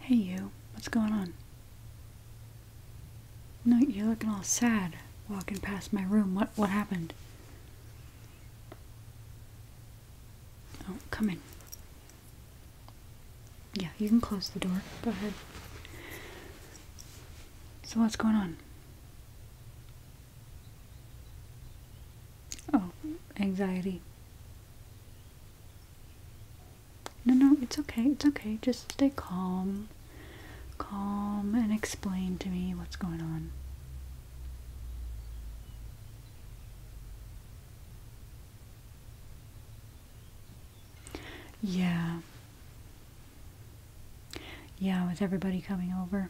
Hey you, what's going on? No, you're looking all sad walking past my room. What what happened? Oh, come in. Yeah, you can close the door. Go ahead. So what's going on? Oh, anxiety. No, no, it's okay, it's okay. Just stay calm. Calm and explain to me what's going on. Yeah. Yeah, with everybody coming over.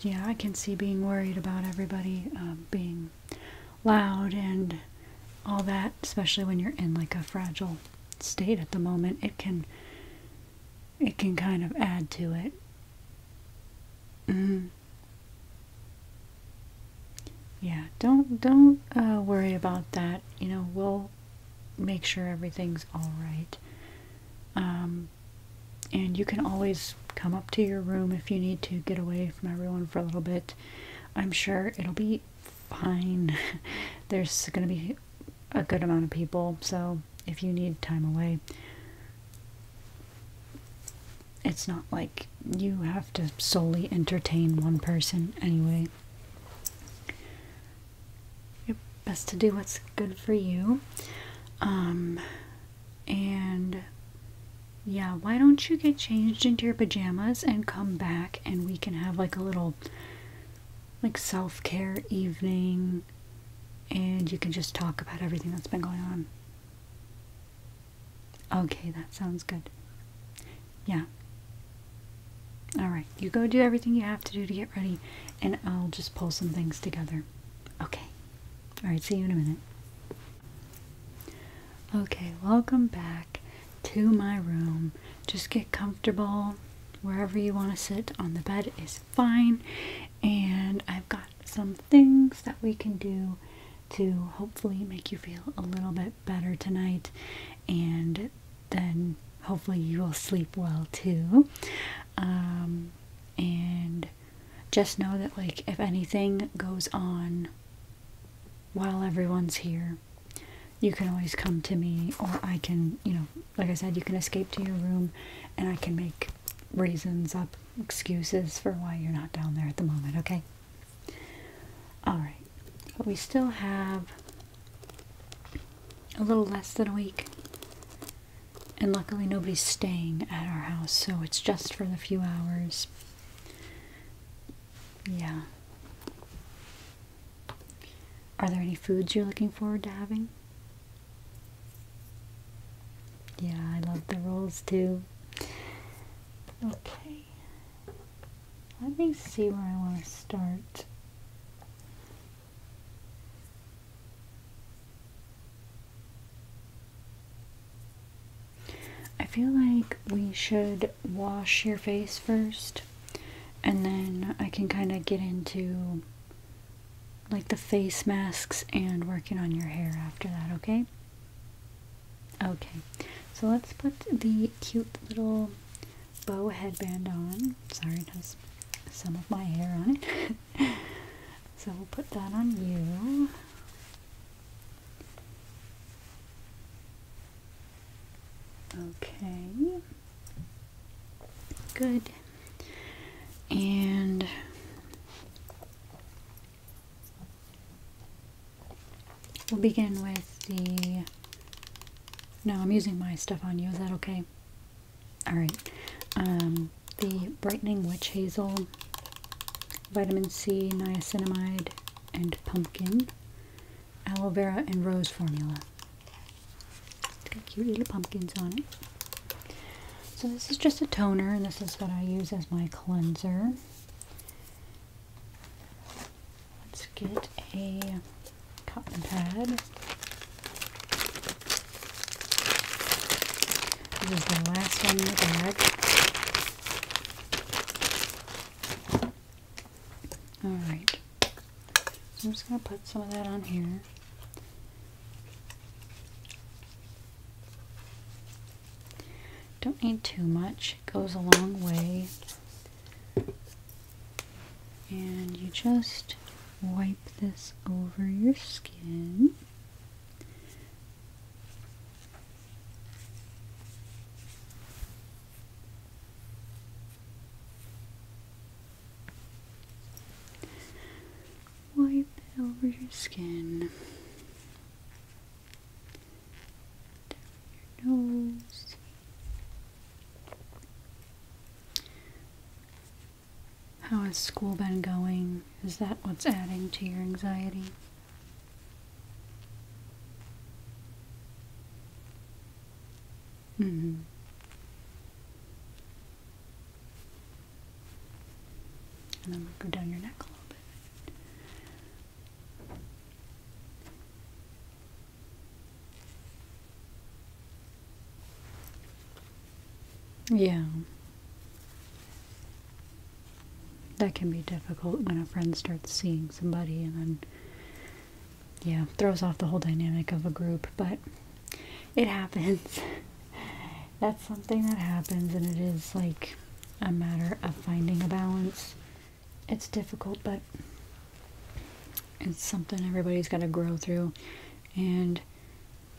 Yeah, I can see being worried about everybody um, being loud and all that, especially when you're in like a fragile state at the moment. It can it can kind of add to it. Mm-hmm yeah don't don't uh, worry about that you know we'll make sure everything's all right um, and you can always come up to your room if you need to get away from everyone for a little bit i'm sure it'll be fine there's going to be a good amount of people so if you need time away it's not like you have to solely entertain one person anyway your best to do what's good for you. Um, and yeah, why don't you get changed into your pajamas and come back and we can have like a little like self care evening and you can just talk about everything that's been going on. Okay, that sounds good. Yeah. Alright, you go do everything you have to do to get ready, and I'll just pull some things together. Okay. Alright, see you in a minute. Okay, welcome back to my room. Just get comfortable. Wherever you want to sit on the bed is fine. And I've got some things that we can do to hopefully make you feel a little bit better tonight, and then hopefully you will sleep well too. Um, and just know that, like, if anything goes on while everyone's here, you can always come to me, or I can, you know, like I said, you can escape to your room and I can make reasons up, excuses for why you're not down there at the moment, okay? Alright, but we still have a little less than a week. And luckily, nobody's staying at our house, so it's just for the few hours. Yeah. Are there any foods you're looking forward to having? Yeah, I love the rolls too. Okay. Let me see where I want to start. I feel like we should wash your face first and then I can kind of get into like the face masks and working on your hair after that, okay? Okay, so let's put the cute little bow headband on. Sorry, it has some of my hair on it. so we'll put that on you. Okay. Good. And We'll begin with the... No, I'm using my stuff on you. Is that okay? Alright. Um, the Brightening Witch Hazel, Vitamin C, Niacinamide, and Pumpkin, Aloe Vera, and Rose Formula. It's got cute little pumpkins on it. So this is just a toner, and this is what I use as my cleanser. Let's get a cotton pad. This is the last one in the bag. Alright. I'm just going to put some of that on here. Don't need too much. It goes a long way. And you just wipe this over your skin. Wipe it over your skin down your nose. How has school been going? Is that what's adding to your anxiety? Mm -hmm. And then we go down your neck a little bit. Yeah. That can be difficult when a friend starts seeing somebody and then, yeah, throws off the whole dynamic of a group, but it happens. That's something that happens, and it is like a matter of finding a balance it's difficult, but it's something everybody's got to grow through. And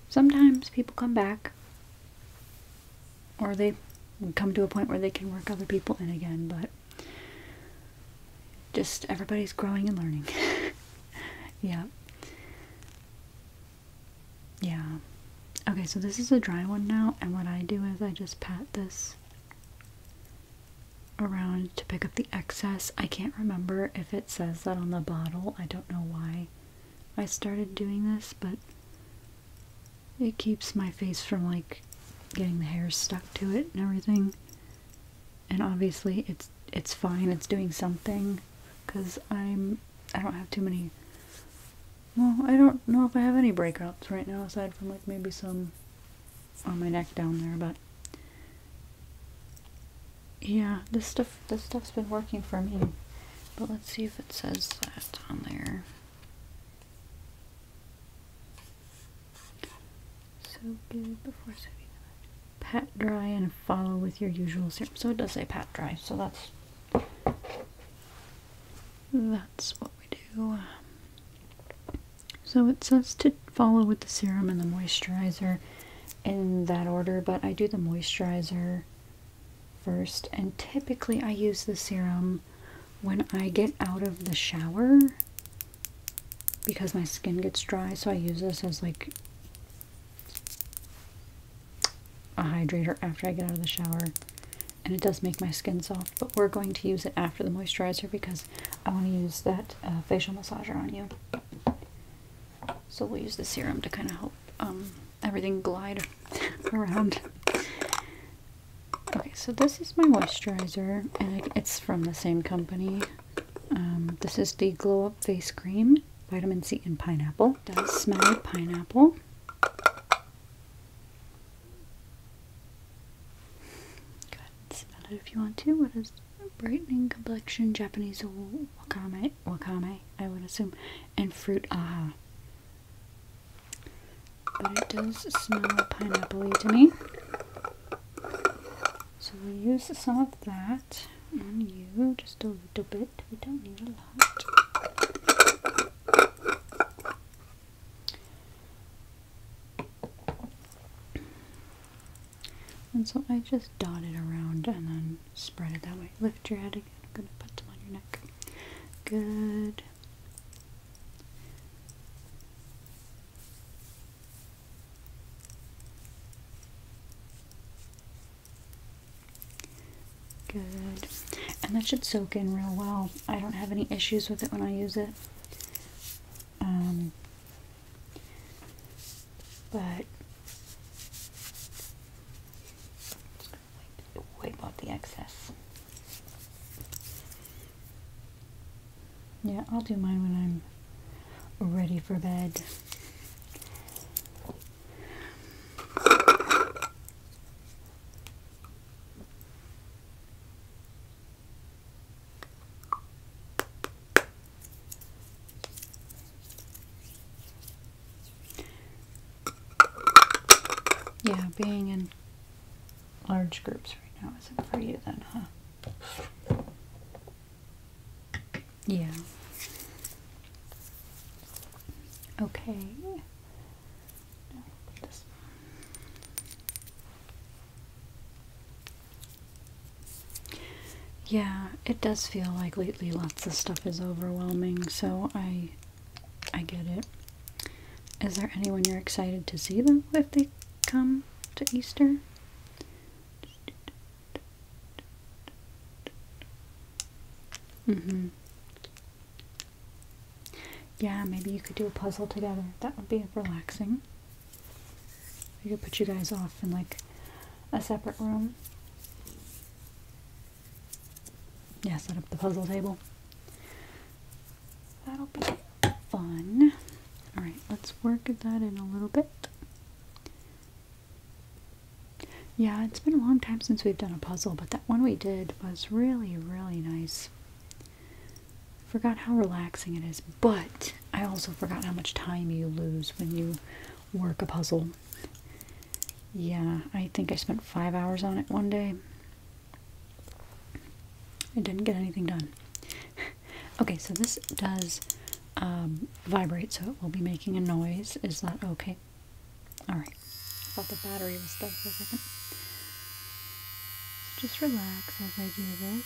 sometimes people come back or they come to a point where they can work other people in again, but just everybody's growing and learning. yeah. Yeah. Okay, so this is a dry one now, and what I do is I just pat this around to pick up the excess. I can't remember if it says that on the bottle. I don't know why I started doing this, but it keeps my face from like getting the hair stuck to it and everything. And obviously it's it's fine. It's doing something cuz I'm I don't have too many well, I don't know if I have any breakouts right now aside from like maybe some on my neck down there, but yeah, this stuff this stuff's been working for me. But let's see if it says that on there. So good before soaking Pat dry and follow with your usual syrup. So it does say pat dry, so that's that's what we do. So it says to follow with the serum and the moisturizer in that order, but I do the moisturizer first. And typically I use the serum when I get out of the shower because my skin gets dry. So I use this as like a hydrator after I get out of the shower and it does make my skin soft but we're going to use it after the moisturizer because I want to use that uh, facial massager on you. So we'll use the serum to kind of help um, everything glide around. Okay, so this is my moisturizer, and it's from the same company. Um, this is the Glow Up Face Cream, Vitamin C and Pineapple. does smell like pineapple. Go spell it if you want to. What is brightening complexion, Japanese wakame, wakame, I would assume, and fruit aha. But it does smell pineapple to me. So we'll use some of that on you, just a little bit. We don't need a lot. And so I just dot it around and then spread it that way. Lift your head again. I'm going to put some on your neck. Good. Good. And that should soak in real well. I don't have any issues with it when I use it. Um, but wipe, wipe the excess. Yeah, I'll do mine when I'm ready for bed. Yeah, being in large groups right now isn't for you then, huh? Yeah. Okay. Yeah, it does feel like lately lots of stuff is overwhelming, so I I get it. Is there anyone you're excited to see them if they come to Easter? Mm-hmm. Yeah, maybe you could do a puzzle together. That would be relaxing. I could put you guys off in like a separate room. Yeah, set up the puzzle table. That'll be fun. Alright, let's work that in a little bit. Yeah, it's been a long time since we've done a puzzle, but that one we did was really, really nice. Forgot how relaxing it is, but I also forgot how much time you lose when you work a puzzle. Yeah, I think I spent five hours on it one day. I didn't get anything done. okay, so this does um, vibrate, so it will be making a noise. Is that okay? Alright. I thought the battery was dead for a second. So just relax as I do this.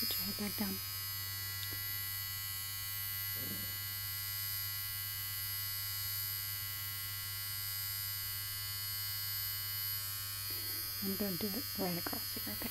Put your head back down. I'm going to do it right across here, okay?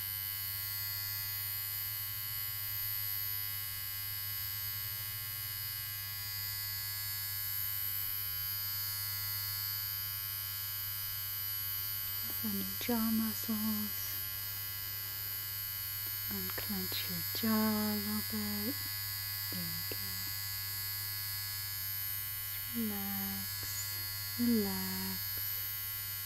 open your jaw muscles unclench your jaw a little bit there we go relax relax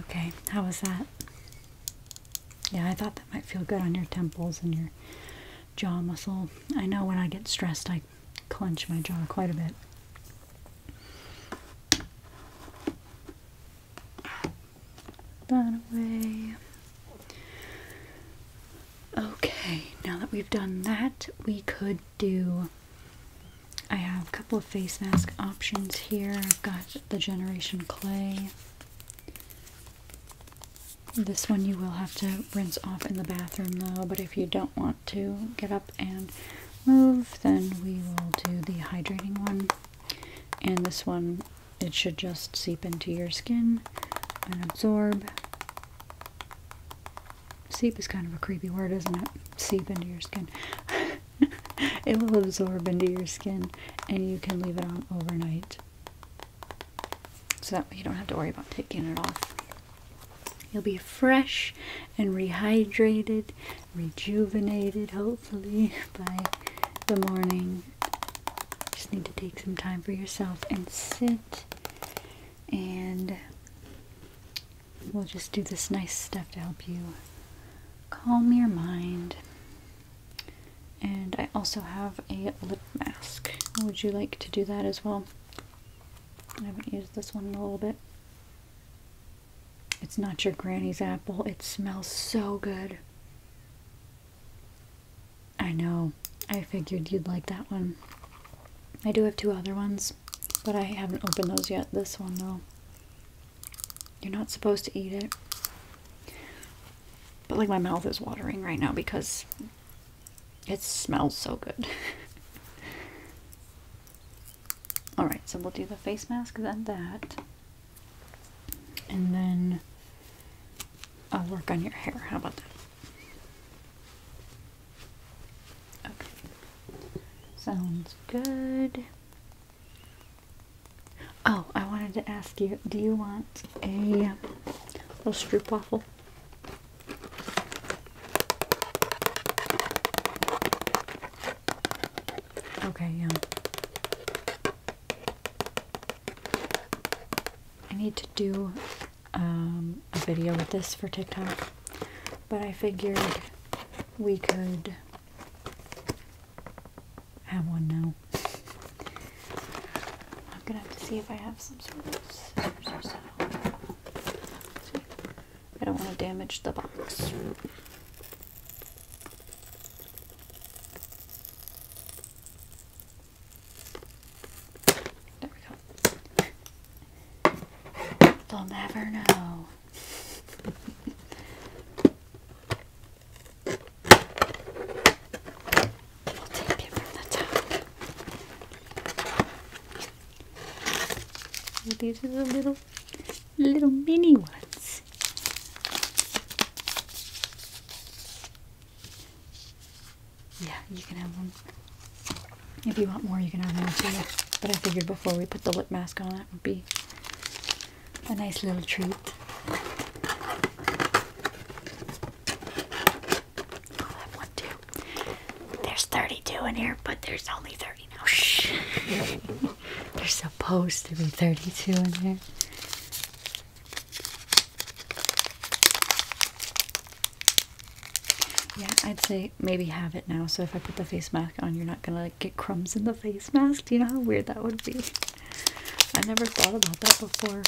Okay, how was that? Yeah, I thought that might feel good on your temples and your jaw muscle. I know when I get stressed, I clench my jaw quite a bit. Run away. Okay, now that we've done that, we could do. I have a couple of face mask options here. I've got the Generation Clay. This one you will have to rinse off in the bathroom though, but if you don't want to get up and move, then we will do the hydrating one. And this one, it should just seep into your skin and absorb. Seep is kind of a creepy word, isn't it? Seep into your skin. it will absorb into your skin and you can leave it on overnight. So that you don't have to worry about taking it off. You'll be fresh and rehydrated, rejuvenated, hopefully, by the morning. Just need to take some time for yourself and sit and we'll just do this nice stuff to help you calm your mind. And I also have a lip mask. Would you like to do that as well? I haven't used this one in a little bit. It's not your granny's apple. It smells so good. I know. I figured you'd like that one. I do have two other ones, but I haven't opened those yet. This one, though. You're not supposed to eat it. But, like, my mouth is watering right now because it smells so good. Alright, so we'll do the face mask, then that. And then I'll work on your hair. How about that? Okay. Sounds good. Oh, I wanted to ask you, do you want a little stroop waffle? Okay, yeah. I need to do um, a video with this for TikTok, but I figured we could have one now. I'm gonna have to see if I have some sort of scissors or something. I don't want to damage the box. They'll never know. These are the little, little mini ones. Yeah, you can have one. If you want more, you can have more too. But I figured before we put the lip mask on, that would be a nice little treat. i one too. There's 32 in here, but there's only 30 now. Shh. There's supposed to be 32 in here. Yeah, I'd say maybe have it now. So if I put the face mask on, you're not gonna get crumbs in the face mask. Do you know how weird that would be? I never thought about that before.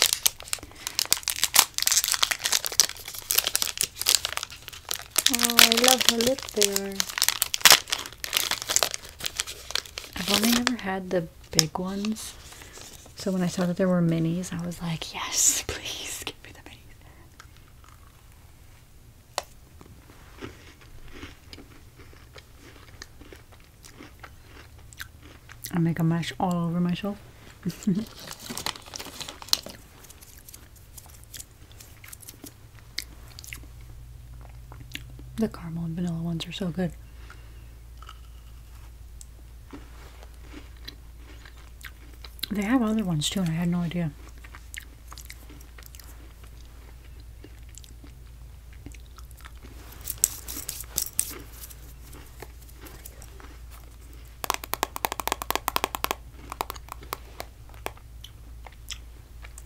Oh, I love her lip there. I've only ever had the big ones. So when I saw that there were minis, I was like, yes, please give me the minis. I make a mash all over myself. the caramel and vanilla ones are so good. They have other ones too, and I had no idea.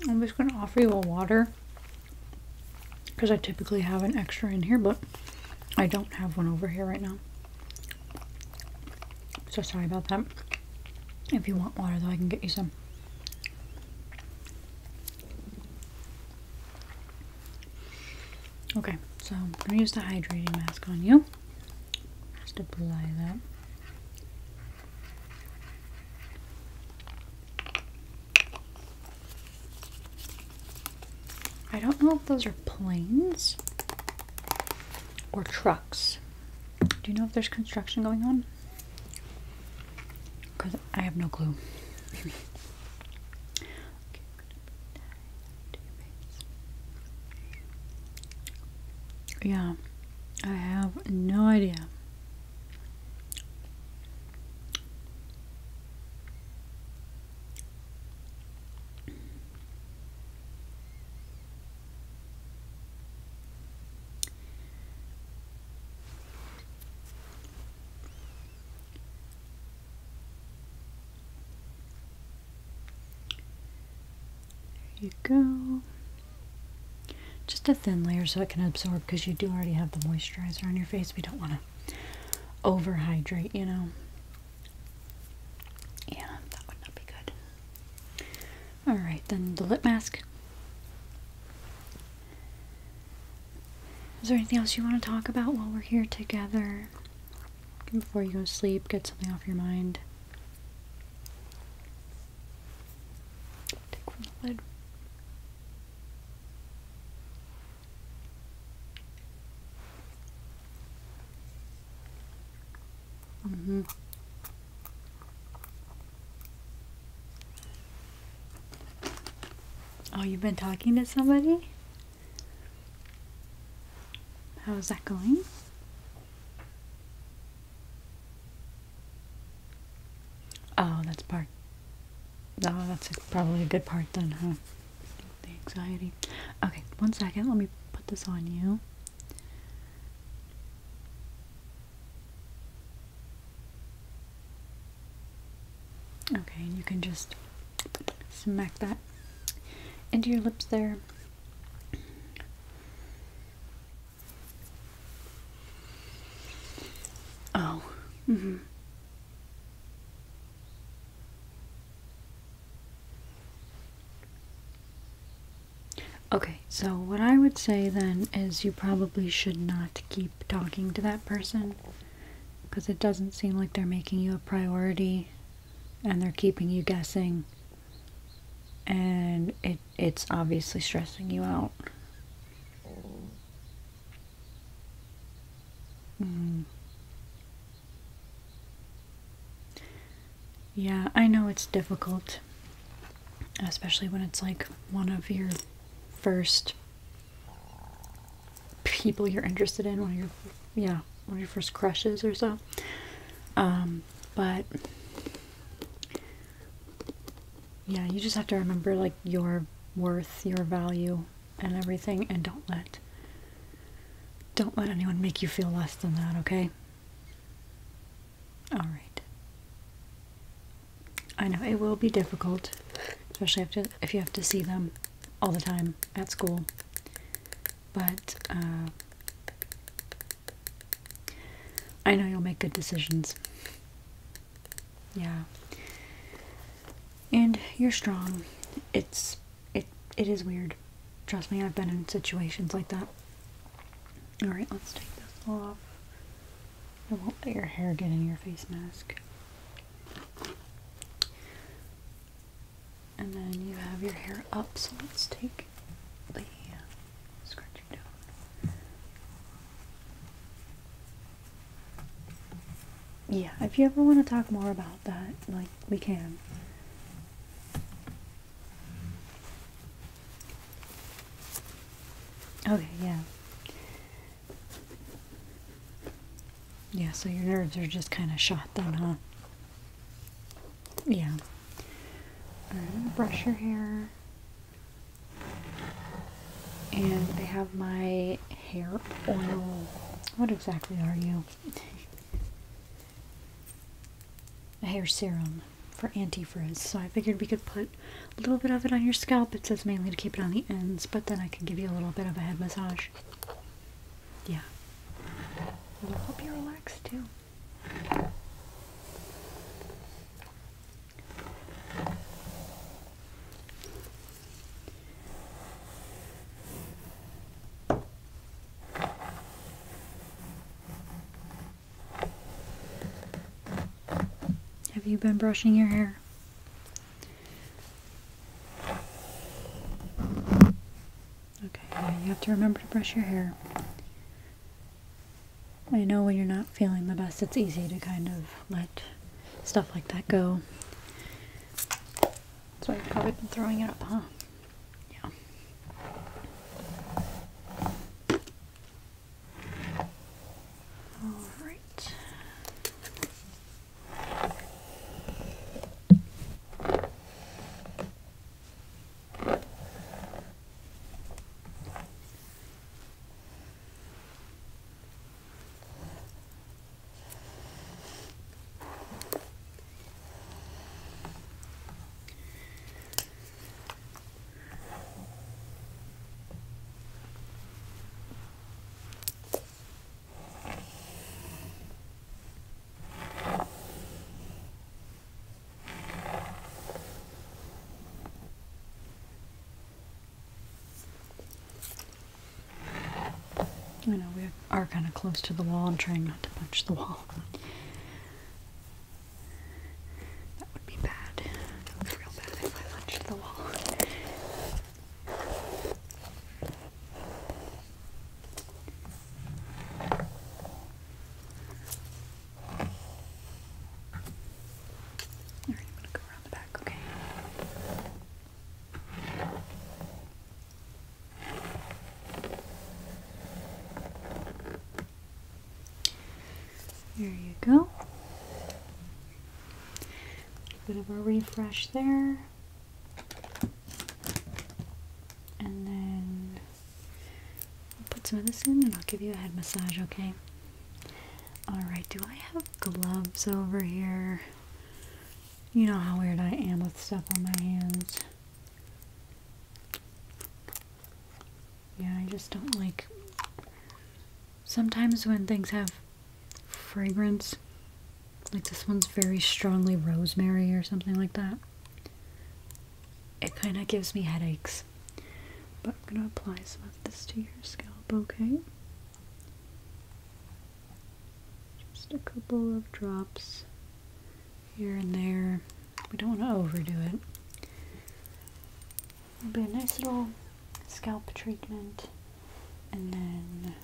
I'm just going to offer you a water because I typically have an extra in here, but I don't have one over here right now. So sorry about that. If you want water though, I can get you some. Okay, so I'm gonna use the hydrating mask on you. Just apply that. I don't know if those are planes or trucks. Do you know if there's construction going on? Because I have no clue. yeah, I have no idea. There you go. Just a thin layer so it can absorb because you do already have the moisturizer on your face. We don't want to overhydrate, you know. Yeah, that would not be good. Alright, then the lip mask. Is there anything else you want to talk about while we're here together? Before you go to sleep, get something off your mind. Take from the lid. Mm-hmm. Oh, you've been talking to somebody? How's that going? Oh, that's part. Oh, that's probably a good part then, huh? the anxiety. Okay, one second. Let me put this on you. Okay, and you can just smack that into your lips there. Oh, hmm. Okay, so what I would say then is you probably should not keep talking to that person because it doesn't seem like they're making you a priority and they're keeping you guessing and it it's obviously stressing you out. Mm. Yeah, I know it's difficult, especially when it's like one of your first people you're interested in, one of your, yeah, one of your first crushes or so. Um, but yeah, you just have to remember like your worth, your value, and everything, and don't let don't let anyone make you feel less than that, okay? Alright. I know it will be difficult, especially if you have to see them all the time at school. But uh, I know you'll make good decisions. Yeah. And you're strong. It's it it is weird. Trust me, I've been in situations like that. Alright, let's take this off. I won't let your hair get in your face mask. And then you have your hair up, so let's take the scrunchie down. Yeah, if you ever want to talk more about that, like, we can. Okay, yeah. Yeah, so your nerves are just kind of shot then, huh? Yeah. Right, brush your hair. And I have my hair oil. What exactly are you? a hair serum for anti-frizz. So I figured we could put a little bit of it on your scalp. It says mainly to keep it on the ends, but then I can give you a little bit of a head massage. Yeah. It'll help you relax too. Have you been brushing your hair? Okay, yeah, you have to remember to brush your hair. I know when you're not feeling the best, it's easy to kind of let stuff like that go. That's why you've probably been throwing it up, huh? Yeah. All right. You know, we're are kind of close to the wall and trying not to punch the wall. That would be bad. That would be real bad if I punched the wall. Alright, I'm gonna go around the back, okay? There you go. A bit of a refresh there. And then I'll put some of this in and I'll give you a head massage, okay? Alright, do I have gloves over here? You know how weird I am with stuff on my hands. Yeah, I just don't like. Sometimes when things have fragrance, like this one's very strongly rosemary or something like that, it kind of gives me headaches. But I'm gonna apply some of this to your scalp, okay? Just a couple of drops here and there. We don't want to overdo it. It'll be a nice little scalp treatment and then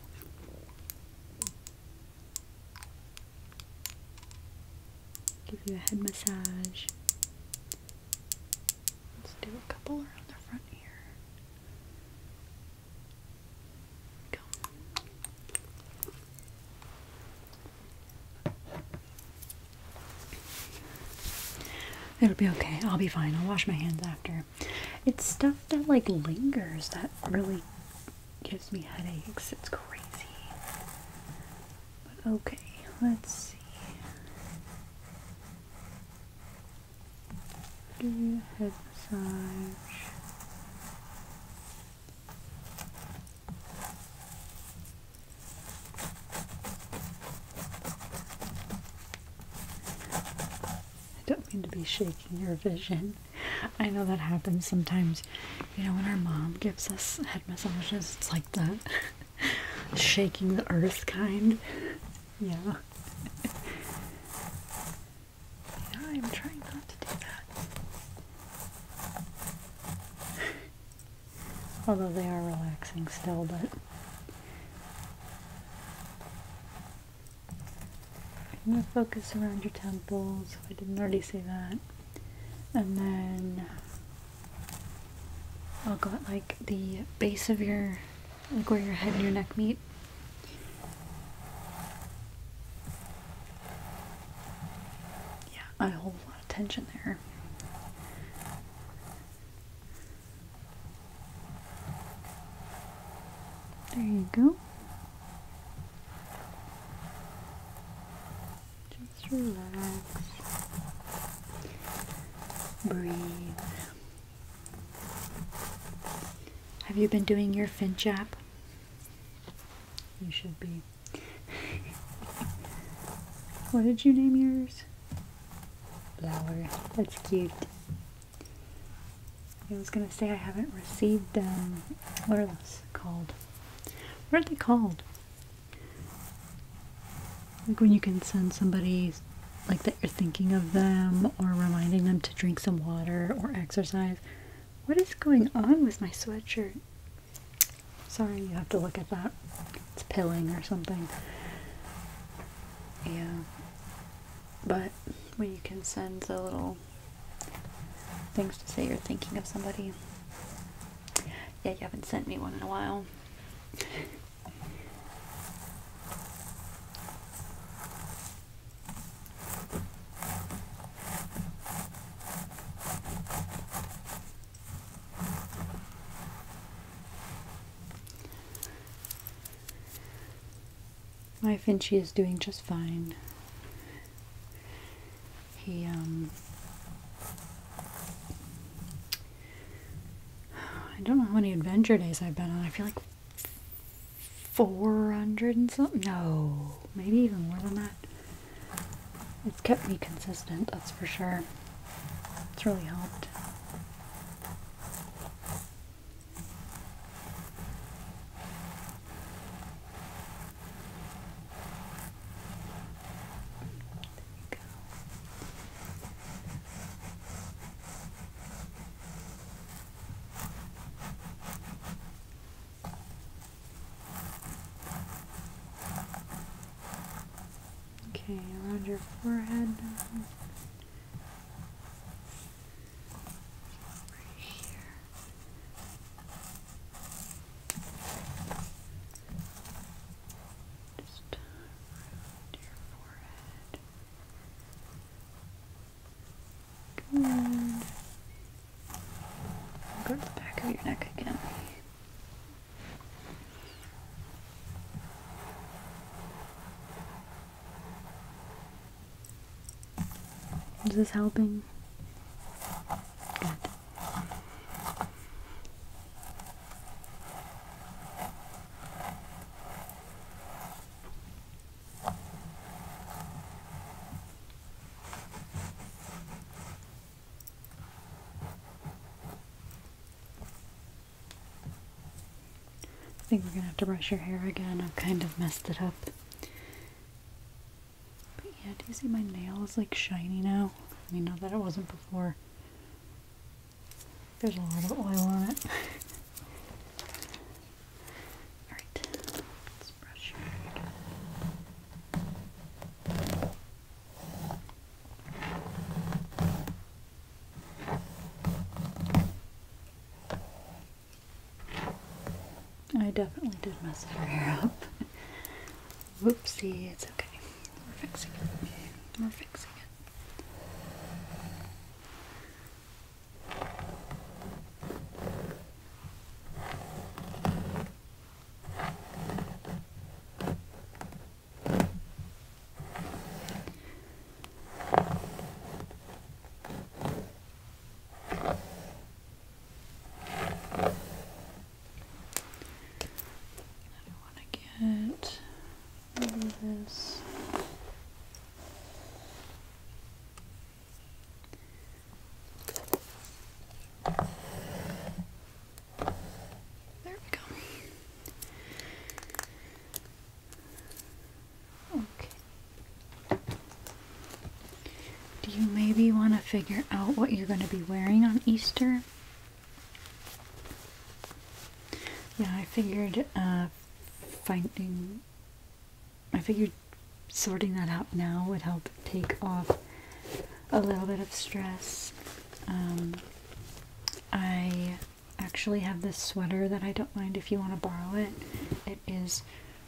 give you a head massage. Let's do a couple around the front here. Go. It'll be okay. I'll be fine. I'll wash my hands after. It's stuff that like lingers that really gives me headaches. It's crazy. okay, let's see. Do head massage. I don't mean to be shaking your vision. I know that happens sometimes. You know, when our mom gives us head massages, it's like that shaking the earth kind. Yeah. yeah. I'm trying not to do that. Although they are relaxing still, but I'm going to focus around your temples. I didn't already say that. And then I'll go at like the base of your, like where your head and your neck meet. Yeah, I hold a lot of tension there. There you go. Just relax. Breathe. Have you been doing your fin chap? You should be what did you name yours? Flower. That's cute. I was gonna say I haven't received them. Um, what are those called? What are they called? Like when you can send somebody like that you're thinking of them or reminding them to drink some water or exercise. What is going on with my sweatshirt? Sorry, you have to look at that. It's pilling or something. Yeah. But where you can send the little things to say you're thinking of somebody. Yeah, you haven't sent me one in a while. My Finchie is doing just fine. He, um, I don't know how many adventure days I've been on. I feel like 400 and something. No, maybe even more than that. It's kept me consistent, that's for sure. It's really helped. There you go. Okay, around your forehead Right here. Just around your forehead. Good. Go to the back of your neck again. Is this helping? I think we're gonna have to brush your hair again. I've kind of messed it up. But yeah, do you see my nail is like shiny now? I mean, not that it wasn't before. There's a lot of oil on it. Alright, let's brush your hair I definitely did mess her hair up. Whoopsie, it's okay. We're fixing it. We're fixing it. I want to get this. There we go. Okay. Do you maybe want to figure out what you're going to be wearing on Easter? Yeah, I figured uh, finding. I figured sorting that out now would help take off a little bit of stress. Um, I actually have this sweater that I don't mind if you want to borrow it. It is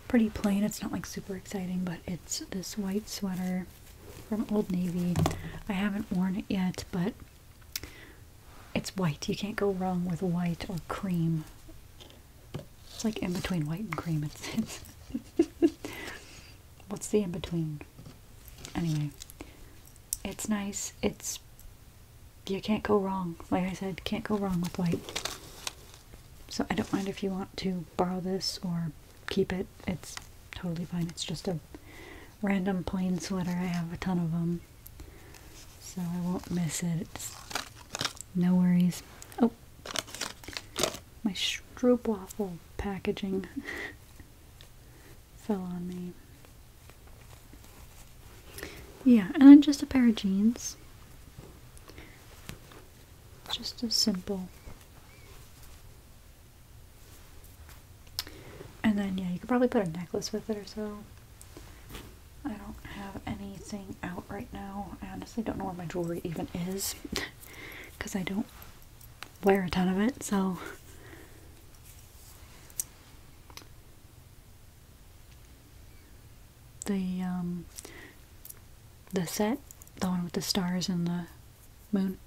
pretty plain, it's not like super exciting, but it's this white sweater from Old Navy. I haven't worn it yet, but it's white. You can't go wrong with white or cream. It's like in between white and cream. It's, it's what's the in between? Anyway, it's nice. It's you can't go wrong. Like I said, can't go wrong with white. So I don't mind if you want to borrow this or keep it. It's totally fine. It's just a random plain sweater. I have a ton of them. So I won't miss it. no worries. Oh, my stroopwaffle packaging fell on me. Yeah, and then just a pair of jeans. Just as simple. And then, yeah, you could probably put a necklace with it or so. I don't have anything out right now. I honestly don't know where my jewelry even is because I don't wear a ton of it, so the um, the set, the one with the stars and the moon.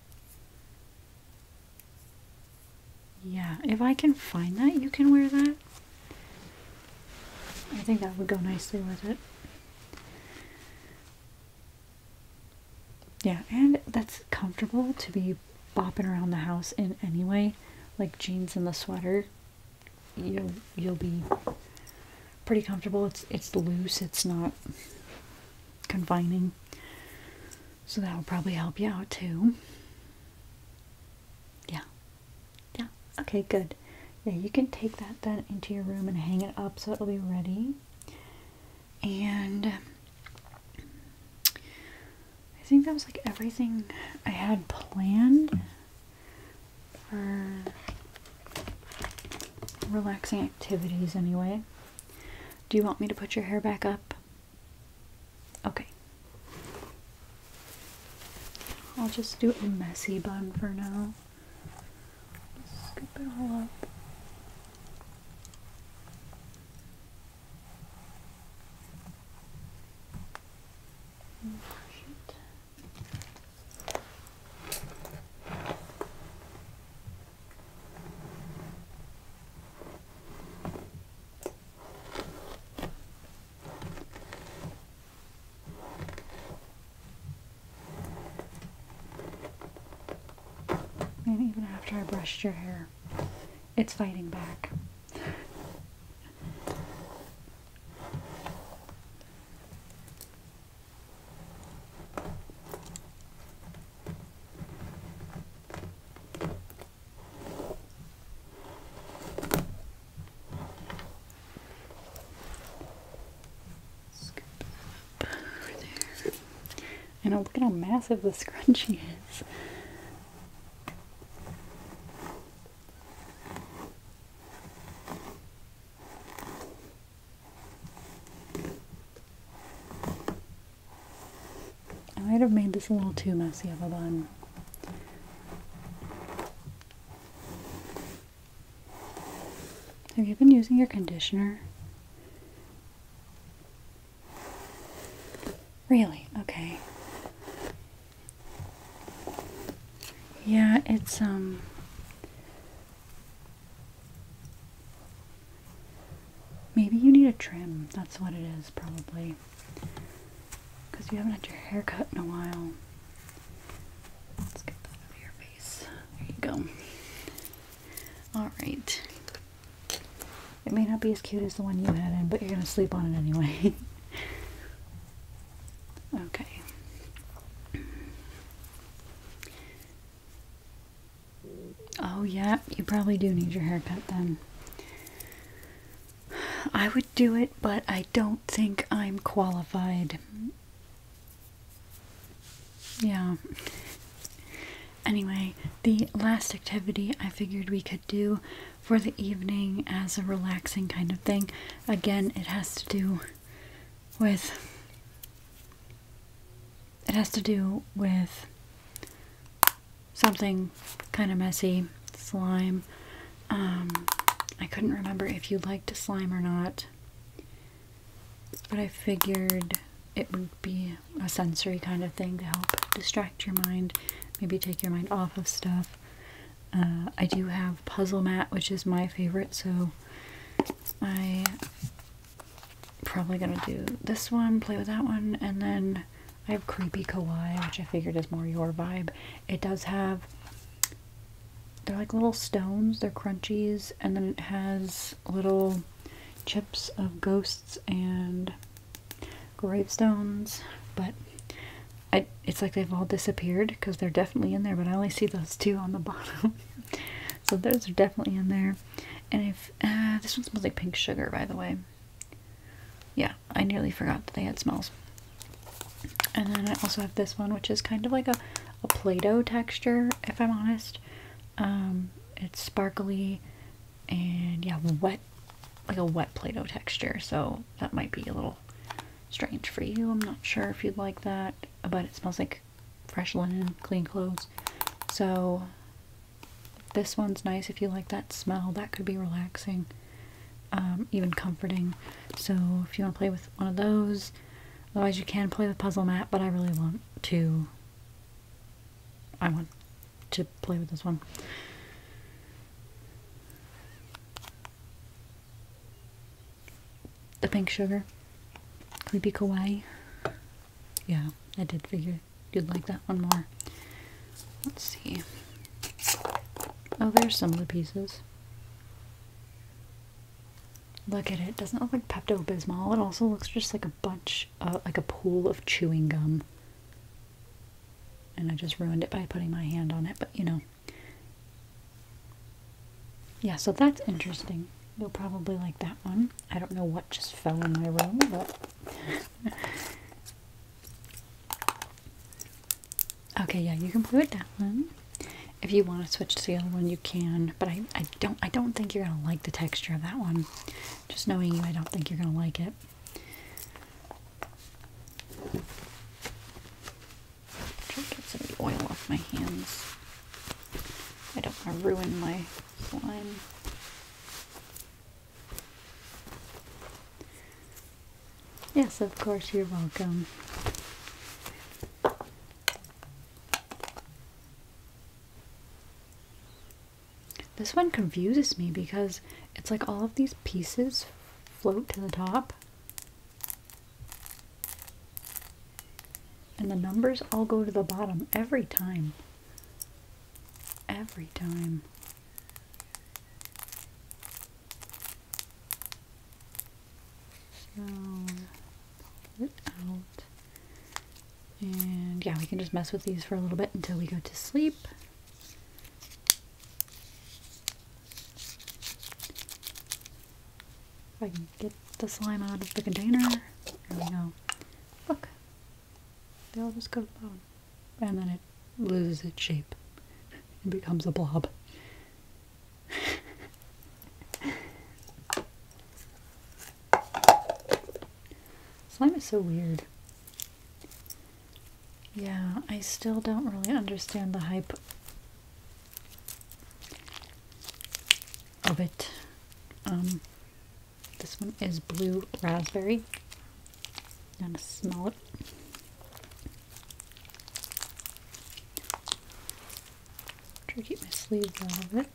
Yeah, if I can find that, you can wear that. I think that would go nicely with it. Yeah, and that's comfortable to be bopping around the house in anyway, like jeans and the sweater. You'll you'll be pretty comfortable. It's it's loose. It's not confining. So that will probably help you out too. Yeah. Yeah. Okay, good. Yeah, you can take that then into your room and hang it up so it'll be ready. And um, I think that was like everything I had planned for relaxing activities anyway. Do you want me to put your hair back up? Okay. I'll just do a messy bun for now. Scoop it all up. push it. And even after I brushed your hair, it's fighting back. And look at how massive the scrunchie is. I might have made this a little too messy of a bun. Have you been using your conditioner? Really? Okay. Yeah, it's, um, maybe you need a trim. That's what it is, probably. Because you haven't had your hair cut in a while. Let's get that out of your face. There you go. Alright. It may not be as cute as the one you had in, but you're going to sleep on it anyway. okay. Oh, yeah, you probably do need your haircut then. I would do it, but I don't think I'm qualified. Yeah. Anyway, the last activity I figured we could do for the evening as a relaxing kind of thing. Again, it has to do with it has to do with something kind of messy, slime. Um, I couldn't remember if you liked slime or not. But I figured it would be a sensory kind of thing to help distract your mind, maybe take your mind off of stuff. Uh, I do have Puzzle Mat, which is my favorite, so I probably gonna do this one, play with that one, and then I have Creepy Kawaii, which I figured is more your vibe. It does have, they're like little stones, they're crunchies, and then it has little chips of ghosts and gravestones, but it's like they've all disappeared because they're definitely in there, but I only see those two on the bottom. so those are definitely in there. And if uh, this one smells like pink sugar, by the way. Yeah, I nearly forgot that they had smells. And then I also have this one, which is kind of like a, a Play-Doh texture, if I'm honest. Um, it's sparkly and yeah, wet, like a wet Play-Doh texture. So that might be a little strange for you. I'm not sure if you'd like that, but it smells like fresh linen, clean clothes. So this one's nice if you like that smell. That could be relaxing, um, even comforting. So if you want to play with one of those, otherwise you can play with Puzzle Mat, but I really want to I want to play with this one. The pink sugar. Creepy kawaii. Yeah, I did figure you'd like that one more. Let's see. Oh, there's some of the pieces. Look at it. Doesn't look like Pepto Bismol. It also looks just like a bunch, uh, like a pool of chewing gum. And I just ruined it by putting my hand on it, but you know. Yeah, so that's interesting. You'll probably like that one. I don't know what just fell in my room, but. okay, yeah, you can put that one. If you want to switch to the other one, you can, but I I don't I don't think you're gonna like the texture of that one. Just knowing you, I don't think you're gonna like it. Try get some of the oil off my hands. I don't want to ruin my slime. Yes, of course, you're welcome. This one confuses me because it's like all of these pieces float to the top. And the numbers all go to the bottom every time. Every time. So, pull it out. And yeah, we can just mess with these for a little bit until we go to sleep. If I can get the slime out of the container. There we go. Look. They all just go bone. And then it loses its shape. and becomes a blob. Slime is so weird. Yeah, I still don't really understand the hype of it. Um, this one is blue raspberry. I'm gonna smell it. Try to keep my sleeves out of it.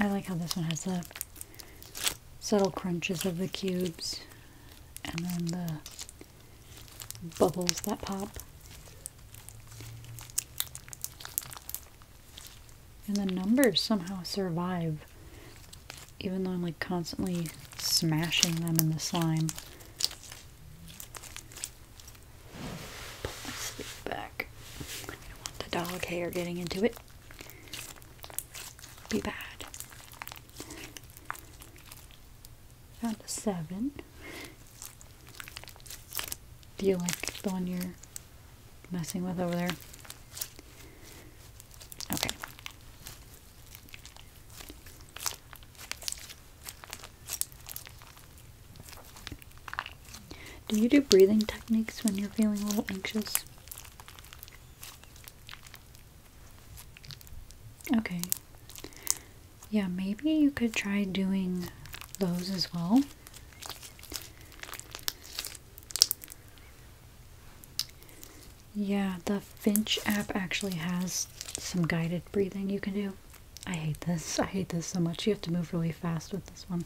I like how this one has the subtle crunches of the cubes and then the bubbles that pop. And the numbers somehow survive even though I'm like constantly smashing them in the slime. Pull my sleeve back. I don't want the dog hair getting into it. Be bad. Found a seven. Do you like the one you're messing with over there? Okay. Do you do breathing techniques when you're feeling a little anxious? Okay. Yeah, maybe you could try doing those as well. Yeah, the Finch app actually has some guided breathing you can do. I hate this. I hate this so much. You have to move really fast with this one.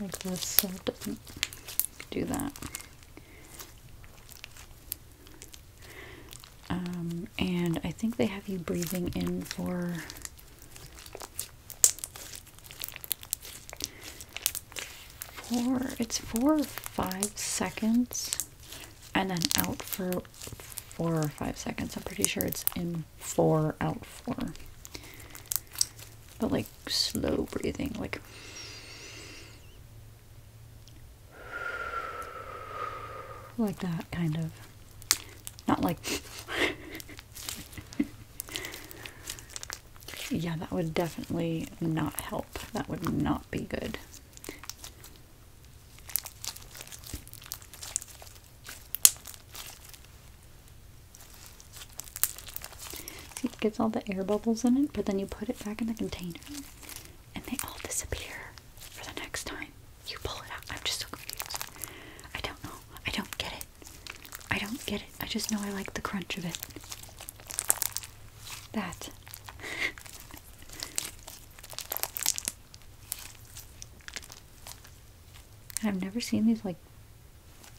Like this, so it doesn't do that. Um, and I think they have you breathing in for four it's four or five seconds and then out for four or five seconds i'm pretty sure it's in four out four but like slow breathing like like that kind of not like Yeah, that would definitely not help. That would not be good. See, it gets all the air bubbles in it, but then you put it back in the container and they all disappear for the next time you pull it out. I'm just so confused. I don't know. I don't get it. I don't get it. I just know I like the crunch of it. That. I've never seen these like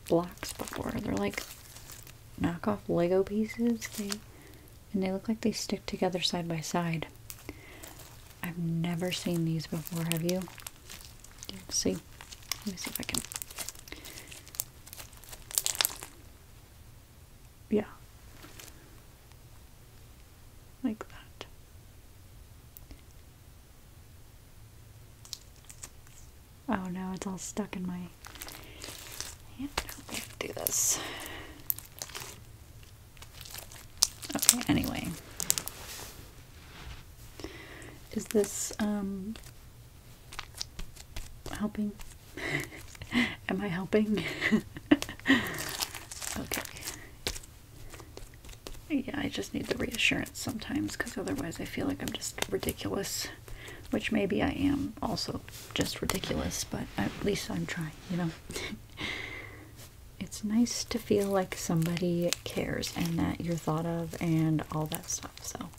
blocks before. They're like knockoff Lego pieces. They and they look like they stick together side by side. I've never seen these before, have you? Let's see. Let me see if I can yeah. Like that. Oh no, it's all stuck in my hand. do this. Okay, anyway. Is this um helping? Am I helping? okay. Yeah, I just need the reassurance sometimes because otherwise I feel like I'm just ridiculous, which maybe I am also just ridiculous, but at least I'm trying, you know. it's nice to feel like somebody cares and that you're thought of and all that stuff, so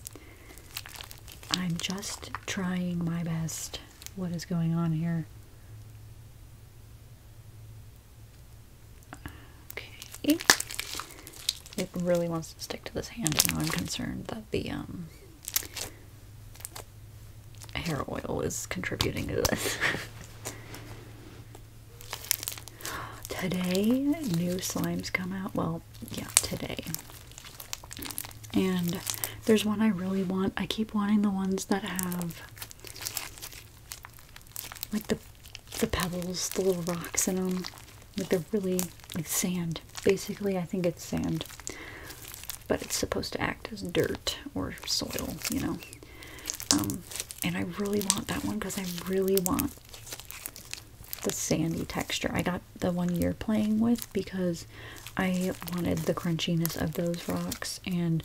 I'm just trying my best. What is going on here? Okay. It really wants to stick to this hand now. I'm concerned that the um, hair oil is contributing to this. Today, new slimes come out. Well, yeah, today. And there's one I really want. I keep wanting the ones that have like the the pebbles, the little rocks in them. Like they're really like sand. Basically, I think it's sand. But it's supposed to act as dirt or soil, you know. Um, and I really want that one because I really want the sandy texture. I got the one you're playing with because I wanted the crunchiness of those rocks and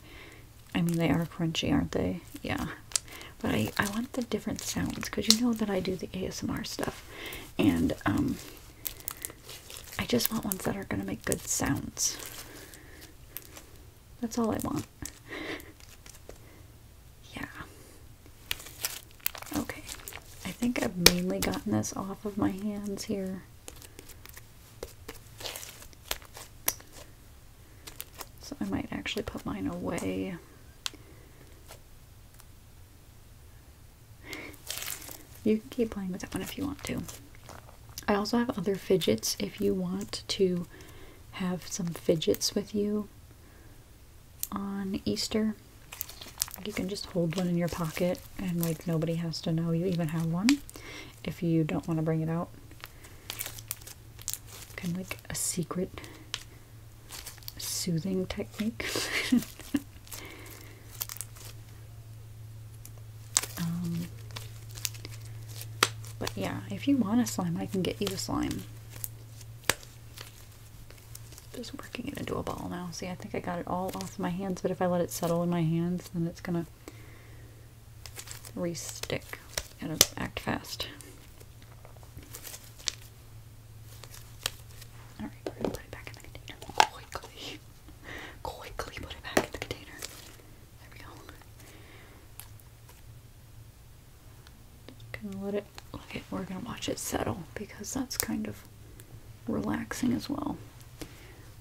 I mean they are crunchy aren't they? Yeah. But I, I want the different sounds because you know that I do the ASMR stuff and um I just want ones that are gonna make good sounds. That's all I want. yeah. Okay, I think I've mainly gotten this off of my hands here. So I might actually put mine away. you can keep playing with that one if you want to. I also have other fidgets if you want to have some fidgets with you on Easter. You can just hold one in your pocket and like nobody has to know you even have one if you don't want to bring it out. Kind of like a secret soothing technique. Um, but yeah, if you want a slime, I can get you a slime. Just working it into a ball now. See, I think I got it all off my hands, but if I let it settle in my hands, then it's gonna re-stick. Gotta act fast. Alright, put it back in the container. Quickly. Quickly put it back in the container. There we go. gonna let it, okay, we're gonna watch it settle because that's kind of relaxing as well.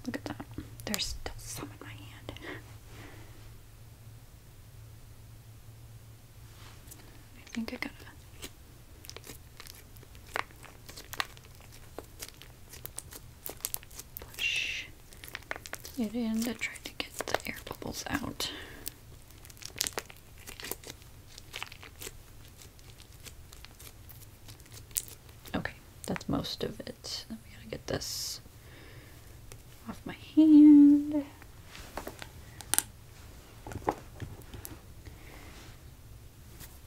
Look at that. There's still some in my hand. I think I got it. Push it in to try to get the air bubbles out. Okay, that's most of it. I gotta get this off my hand.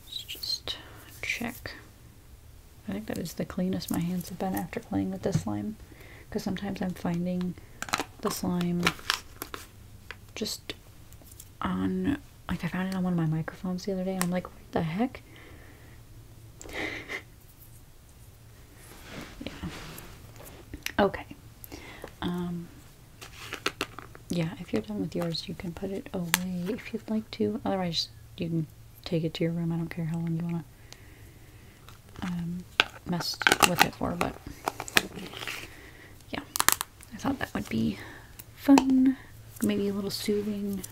Let's just check. I think that is the cleanest my hands have been after playing with this slime. Because sometimes I'm finding the slime just on like I found it on one of my microphones the other day I'm like, what the heck? yeah. Okay. Um, yeah, if you're done with yours, you can put it away if you'd like to. Otherwise, you can take it to your room. I don't care how long you want to um, mess with it for, but yeah. I thought that would be fun, maybe a little soothing.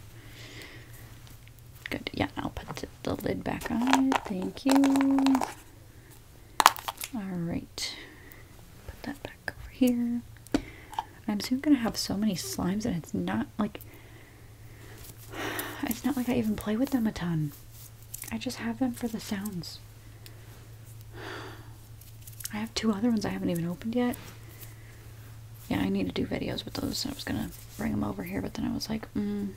Good, yeah, I'll put the lid back on. Thank you. Alright, put that back over here. I'm soon gonna have so many slimes, and it's not like it's not like I even play with them a ton. I just have them for the sounds. I have two other ones I haven't even opened yet. Yeah, I need to do videos with those. I was gonna bring them over here, but then I was like, mm,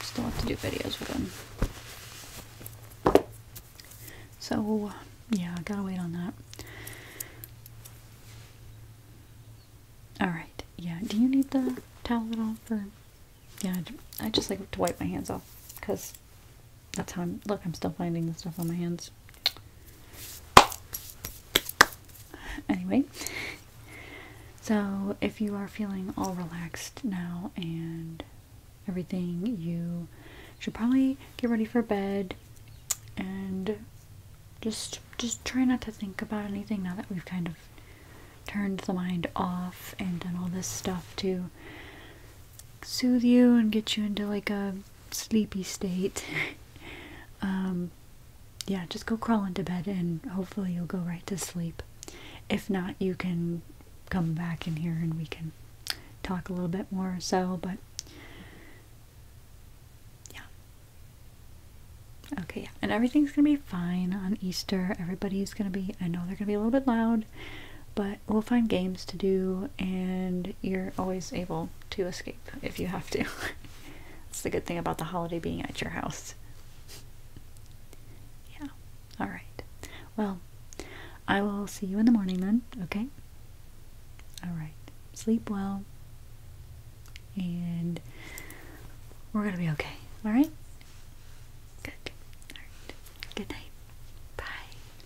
still have to do videos with them. So, yeah, I gotta wait on that. Alright, yeah, do you need the towel at all for... Yeah, I just like to wipe my hands off, because that's how I'm. Look, I'm still finding the stuff on my hands. Anyway, so if you are feeling all relaxed now and everything, you should probably get ready for bed and just just try not to think about anything now that we've kind of turned the mind off and done all this stuff to soothe you and get you into like a sleepy state, um, yeah, just go crawl into bed and hopefully you'll go right to sleep. If not, you can come back in here and we can talk a little bit more so, but yeah. Okay, yeah. And everything's going to be fine on Easter. Everybody's going to be, I know they're going to be a little bit loud, but we'll find games to do, and you're always able to escape if you have to. It's the good thing about the holiday being at your house. Yeah, alright. Well, I will see you in the morning then, okay? Alright, sleep well, and we're gonna be okay, alright? Good. Alright. Good night. Bye.